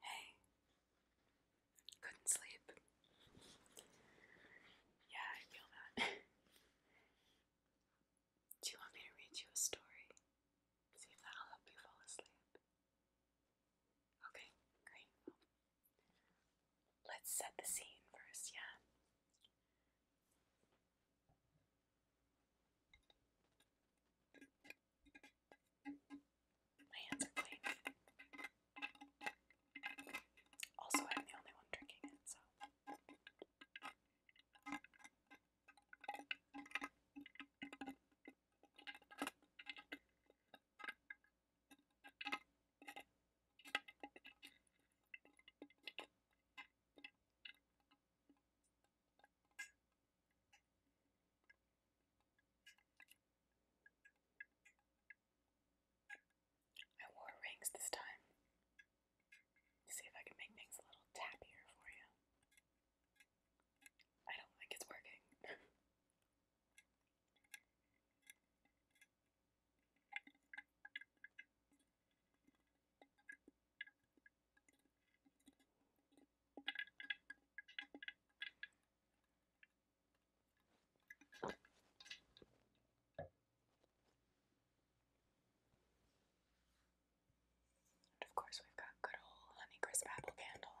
Hey, couldn't sleep. Yeah, I feel that. Do you want me to read you a story? See if that'll help you fall asleep. Okay, great. Let's set the scene first, yeah? My hands are clean. Also, I'm the only one drinking it, so. I wore rings this time see if I can make things a little tappier for you. I don't think it's working of course, we've got good old honey crisp apple candle.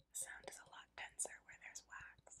The sound is a lot denser where there's wax.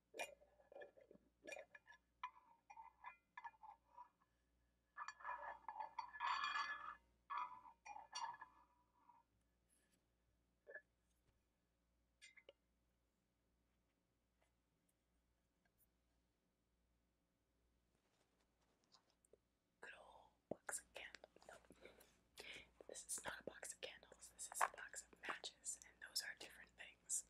Good old box of candles. No. This is not a box of candles, this is a box of matches, and those are different things.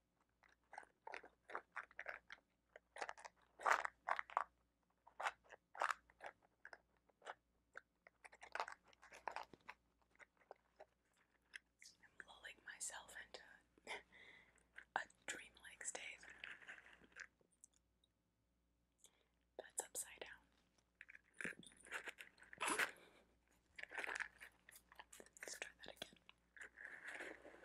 I'm lulling myself into a dreamlike state that's upside down. Let's try that again. There we go.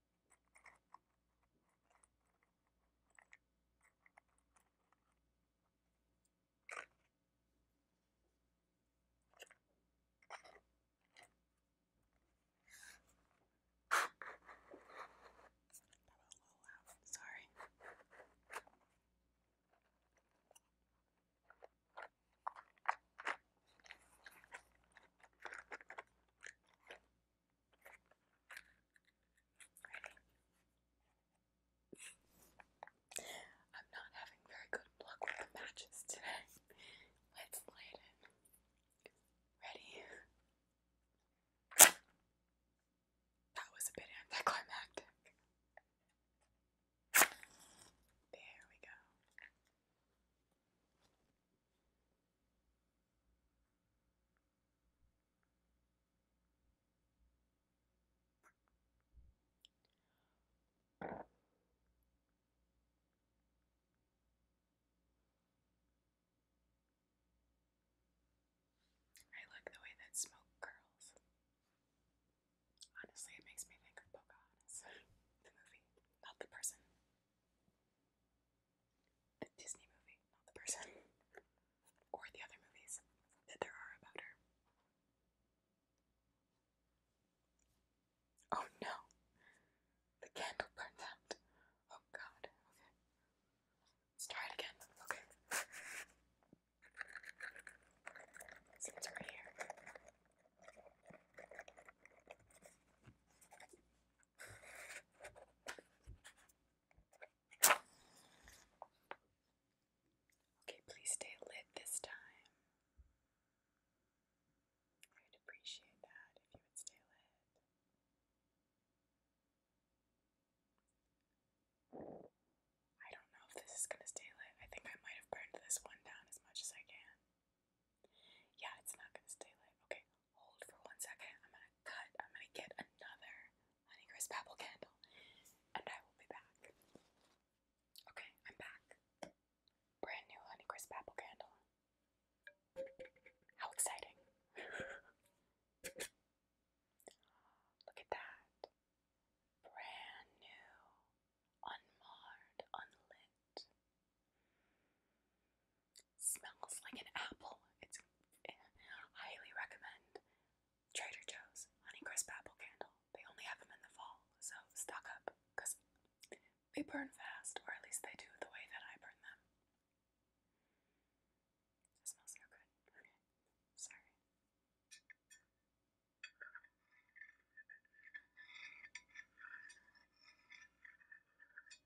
That was a little loud, sorry. I'm not having very good luck with the matches today. Let's light it. Ready? That was a bit anticlimactic. There we go. I like the way that smoke curls. Honestly, it makes me think of Pocahontas, the movie, not the person the Disney movie, not the person, or the other movies that there are about her. Oh no! The candle burned out. Oh god. Okay. Let's try again. Okay. So right here. Okay, please stay lit this time. I'd appreciate that if you would stay lit. I don't know if this is going to stay lit. I think I might have burned this one down as much as I can. Yeah, it's not gonna stay lit. Okay, hold for one second. I'm gonna cut. I'm gonna get another Honeycrisp Apple candle, and I will be back. Okay, I'm back. Brand new Honeycrisp Apple candle. How exciting! Look at that. Brand new, unmarred, unlit smells like an apple. It's eh, highly recommend Trader Joe's Honeycrisp Apple Candle. They only have them in the fall, so stock up because they burn fast, or at least they do the way that I burn them. smells so good. Sorry.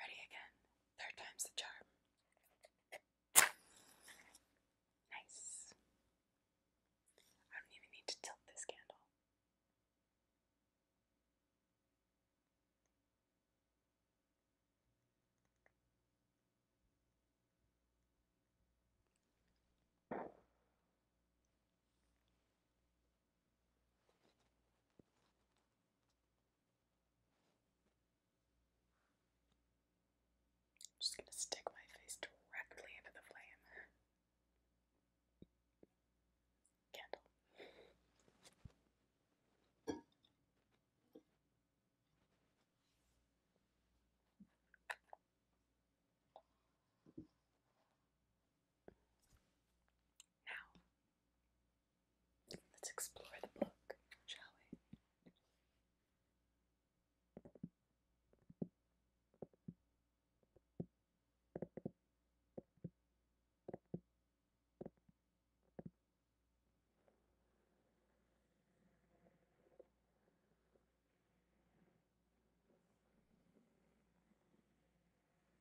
Ready again. Third time's the charm. Nice. I don't even need to tilt this candle just going to stick my face directly into the flame. Candle. Now, let's explore the book, shall we?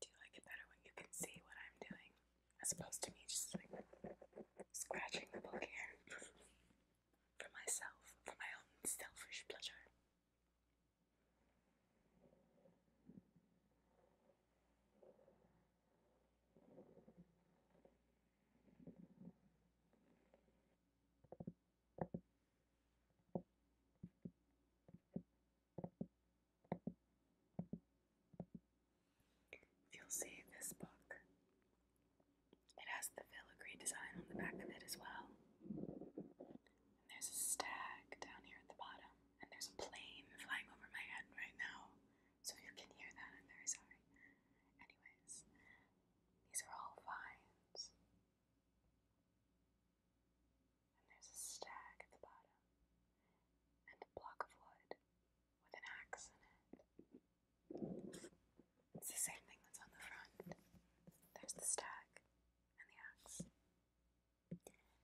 Do you like it better when you can see what I'm doing as opposed to me just like scratching the book here for myself, for my own selfish pleasure? You'll see this book. It has the filigree design on the back of it as well. And there's a stag down here at the bottom, and there's a plane flying over my head right now. So you can hear that, I'm very sorry. Anyways, these are all vines. And there's a stag at the bottom, and a block of wood with an axe in it. It's the same thing that's on the front. There's the stag and the axe.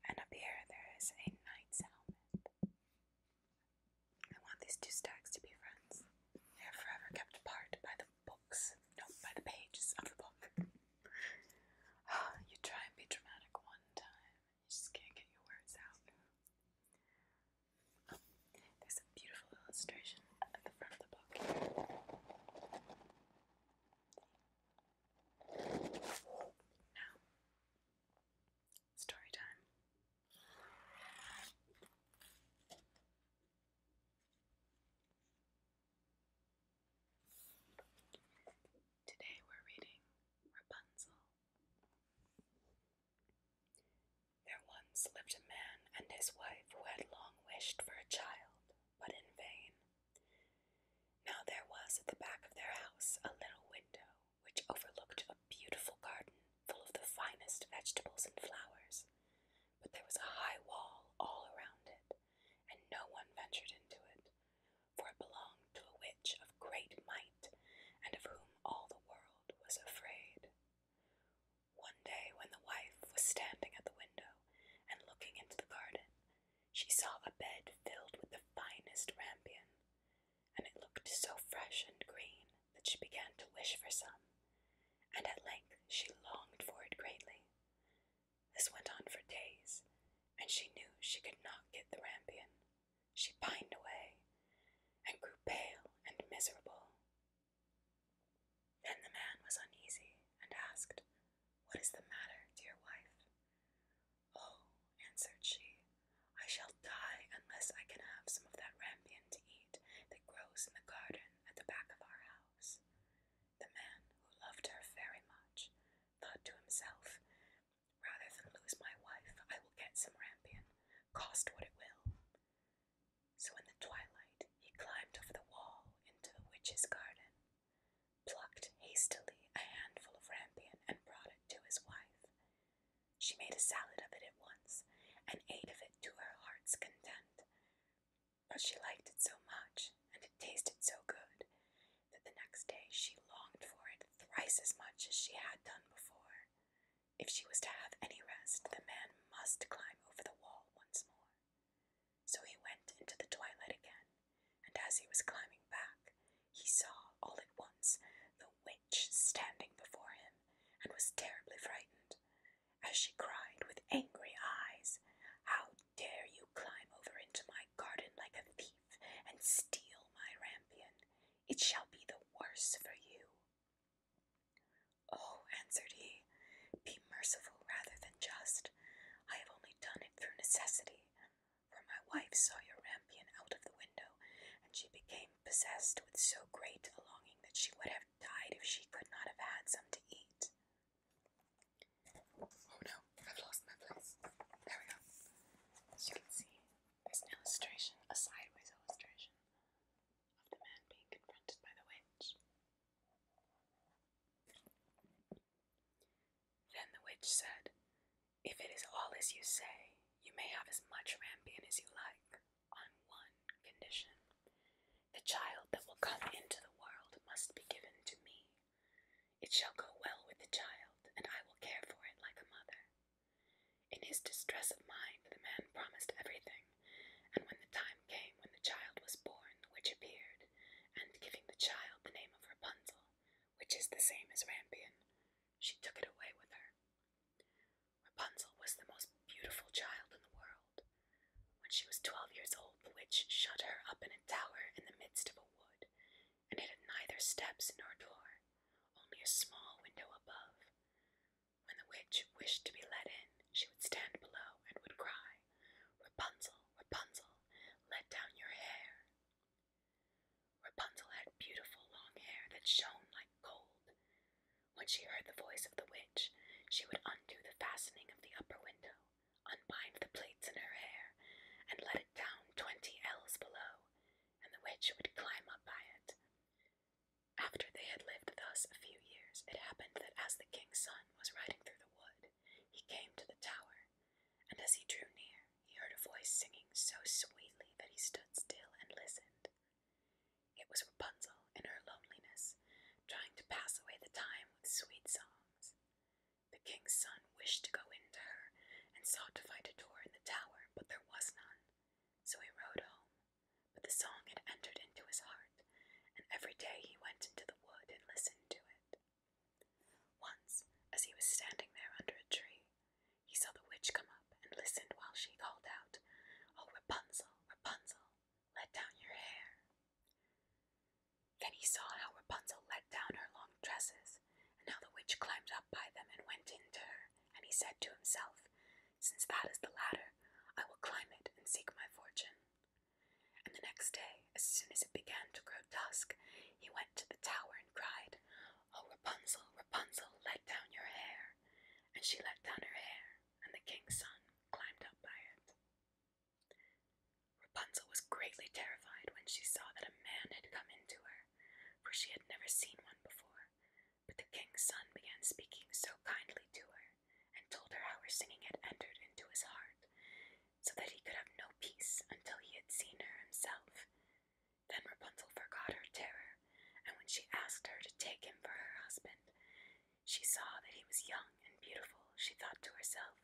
And up here there is a knight's helmet. I want these two stacks to be friends. They are forever kept apart by the book books, by the pages of the book. you try and be dramatic one time, and you just can't get your words out. Oh, there's a beautiful illustration at the front of the book Now, story time. Today we're reading Rapunzel. There once lived a man and his wife who had long wished for a child, but in vain. Now there was at the back of their house a little window which overlooked a beautiful garden full of the finest vegetables and flowers, but there was a high wall all around it, and no one ventured into it, for it belonged to a witch of great might, and of whom all the world was afraid. One day, when the wife was standing at the window and looking into the garden, she saw a bed filled with the finest rampion, and it looked so fresh and green that she began to wish for some, and at length she longed for it greatly. This went on for days, and she knew she could not get the rampion. She pined away and grew pale and miserable. Then the man was uneasy and asked, What is the matter, dear wife? Oh, answered she, I shall die unless I can have some of that rampion to eat that grows in the garden at the back of our house. The man, who loved her very much, thought to himself, Rather than lose my wife, I will get some rampion, cost what it will. So in the twilight he climbed over the wall into the witch's garden, plucked hastily a handful of rampion, and brought it to his wife. She made a salad of it at once, and ate of it to her heart's content. But she liked it so much, and it tasted so good, that the next day she longed for it thrice as much as she had done before. If she was to have any rest, the man must climb over the wall once more. So he went into the twilight again, and as he was climbing back, he saw all at once the witch standing before him, and was terribly frightened, as she cried with angry eyes, How dare you climb over into my garden like a thief and steal my rampion? It shall be the worse for you. Oh, answered he, be merciful rather than just. I have only done it through necessity, for my wife saw your rampion out of the window, and she became possessed with so great a longing that she would have died if she could not have had some to eat. Oh no, I've lost my place. There we go. As you can see, there's an illustration, a sideways illustration, of the man being confronted by the witch. Then the witch said, If it is all as you say, you may have as much rampion as you like, on one condition. The child that will come into the world must be given to me. It shall go well with the child, and I will care for it like a mother. In his distress of mind, the man promised everything, and when the time came when the child was born, the witch appeared, and giving the child the name of Rapunzel, which is the same as Rampion, she took it away with her. Rapunzel was the most beautiful child in the world. When she was twelve years old, the witch shut her up in a tower in the midst of a wood, and it had neither steps nor door, only a small window above. When the witch wished to be let in, she would stand below and would cry, Rapunzel, Rapunzel, let down your hair. Rapunzel had beautiful long hair that shone like gold. When she heard the voice of the witch, she would undo the fastening of the upper window, unbind the plaits in her hair, and let it down twenty ells below, and the witch would climb up by it. After they had lived thus a few years, it happened that as the king's son was riding through the wood, he came to the tower, and as he drew near, he heard a voice singing so sweetly that he stood still and listened. It was Rapunzel in her loneliness, trying to pass away the time with sweet song. The king's son wished to go in to her, and sought to find a door in the tower, but there was none. So he rode home, but the song had entered into his heart, and every day he went into the wood and listened to it. Once, as he was standing there under a tree, he saw the witch come up and listened while she called out, Oh, Rapunzel, Rapunzel, let down your hair. Then he saw how Rapunzel let down her long tresses, and how the witch climbed up by them and went in to her, and he said to himself, Since that is the ladder, I will climb it and seek my fortune. And the next day, as soon as it began to grow dusk, he went to the tower and cried, Oh, Rapunzel, Rapunzel, let down your hair. And she let down her hair, and the king's son climbed up by it. Rapunzel was greatly terrified when she saw that a man had come in to her, for she had never seen one before. But the king's son began speaking so kindly to her, and told her how her singing had entered into his heart, so that he could have no peace until he had seen her himself. Then Rapunzel forgot her terror, and when she asked her to take him for her husband, she saw that he was young and beautiful. She thought to herself,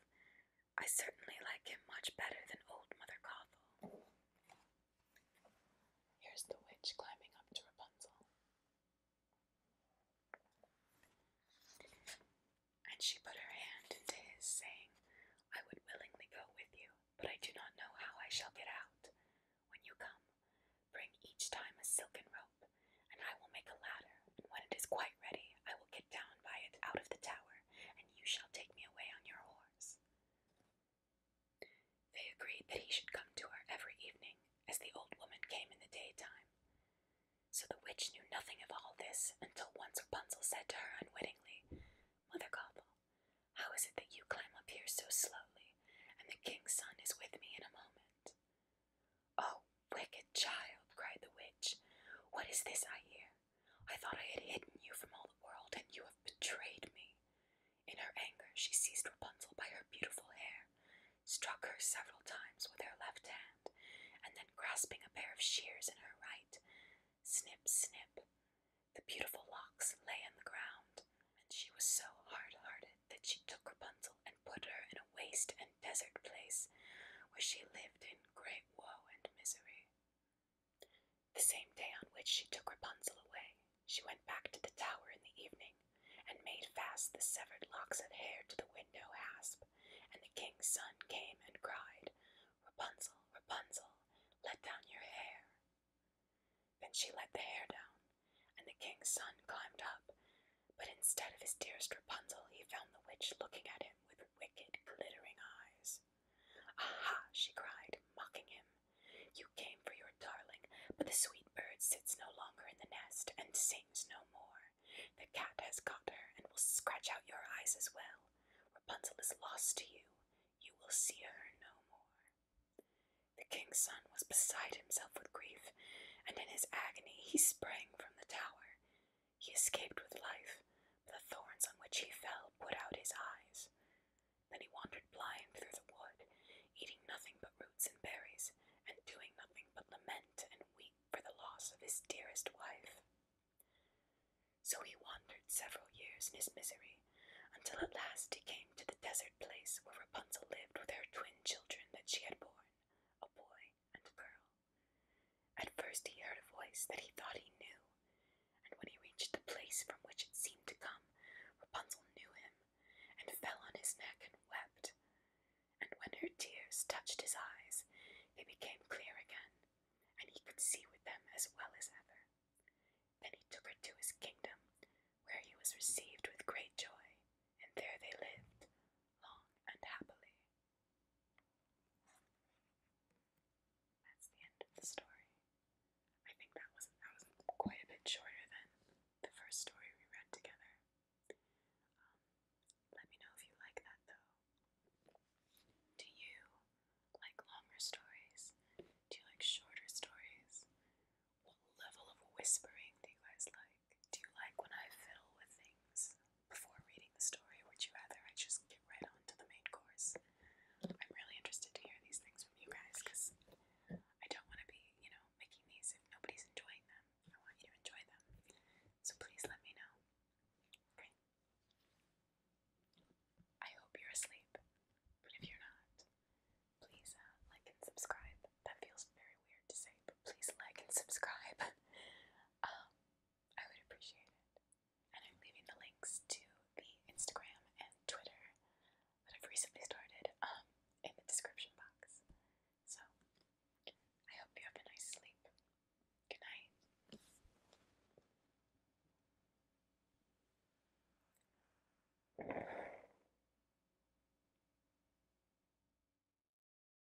I certainly like him much better than old Mother Cawthorn. Here's the witch climbing up to Rapunzel. And she put her hand into his, saying, I would willingly go with you, but I do not know how I shall get out. When you come, bring each time a silken robe and I will make a ladder, and when it is quite ready, I will get down by it out of the tower, and you shall take me away on your horse. They agreed that he should come to her every evening, as the old woman came in the daytime. So the witch knew nothing of all this until once Rapunzel said to her unwittingly, Mother Gobble, how is it that you climb up here so slowly, and the king's son is with me in a moment? Oh, wicked child, cried the witch, what is this I hear? I thought I had hidden you from all the world, and you have betrayed me. In her anger, she seized Rapunzel by her beautiful hair, struck her several times with her left hand, and then grasping a pair of shears in her right, snip, snip, the beautiful locks lay on the ground, and she was so hard hearted that she took Rapunzel and put her in a waist desert place where she lived in great woe and misery. The same day on which she took Rapunzel away, she went back to the tower in the evening and made fast the severed locks of hair to the window hasp, and the king's son came and cried, Rapunzel, Rapunzel, let down your hair. Then she let the hair down, and the king's son climbed up but instead of his dearest Rapunzel, he found the witch looking at him with wicked, glittering eyes. Aha! she cried, mocking him. You came for your darling, but the sweet bird sits no longer in the nest and sings no more. The cat has caught her and will scratch out your eyes as well. Rapunzel is lost to you. You will see her no more. The king's son was beside himself with grief, and in his agony he sprang from the tower. He escaped with life, but the thorns on which he fell put out his eyes. Then he wandered blind through the wood, eating nothing but roots and berries, and doing nothing but lament and weep for the loss of his dearest wife. So he wandered several years in his misery, until at last he came to the desert place where Rapunzel lived with her twin children that she had borne, a boy and a girl. At first he heard a voice that he thought he knew, and when he reached the place from which it seemed to come, Rapunzel knew him, and fell on his neck and wept. And when her tears touched his eyes, they became clear again, and he could see with them as well as ever. Then he took her to his kingdom, where he was received with great joy, and there they lived long and happily. That's the end of the story. I think that was that was quite a bit shorter than the first story we read together. Um, let me know if you like that though. Do you like longer stories? Do you like shorter stories? What level of whispering do you guys like? Do you like when I fiddle with things before reading the story? Would you rather I just get right on the main course? I'm really interested to hear these things from you guys because I don't want to be, you know, making these if nobody's enjoying them. I want you to enjoy them. So please let me know. Okay. I hope you're asleep, but if you're not, please uh, like and subscribe. That feels very weird to say, but please like and subscribe. um, I would appreciate it. And I'm leaving the links to the Instagram and Twitter that I've recently started um, in the description box. So I hope you have a nice sleep. Good night.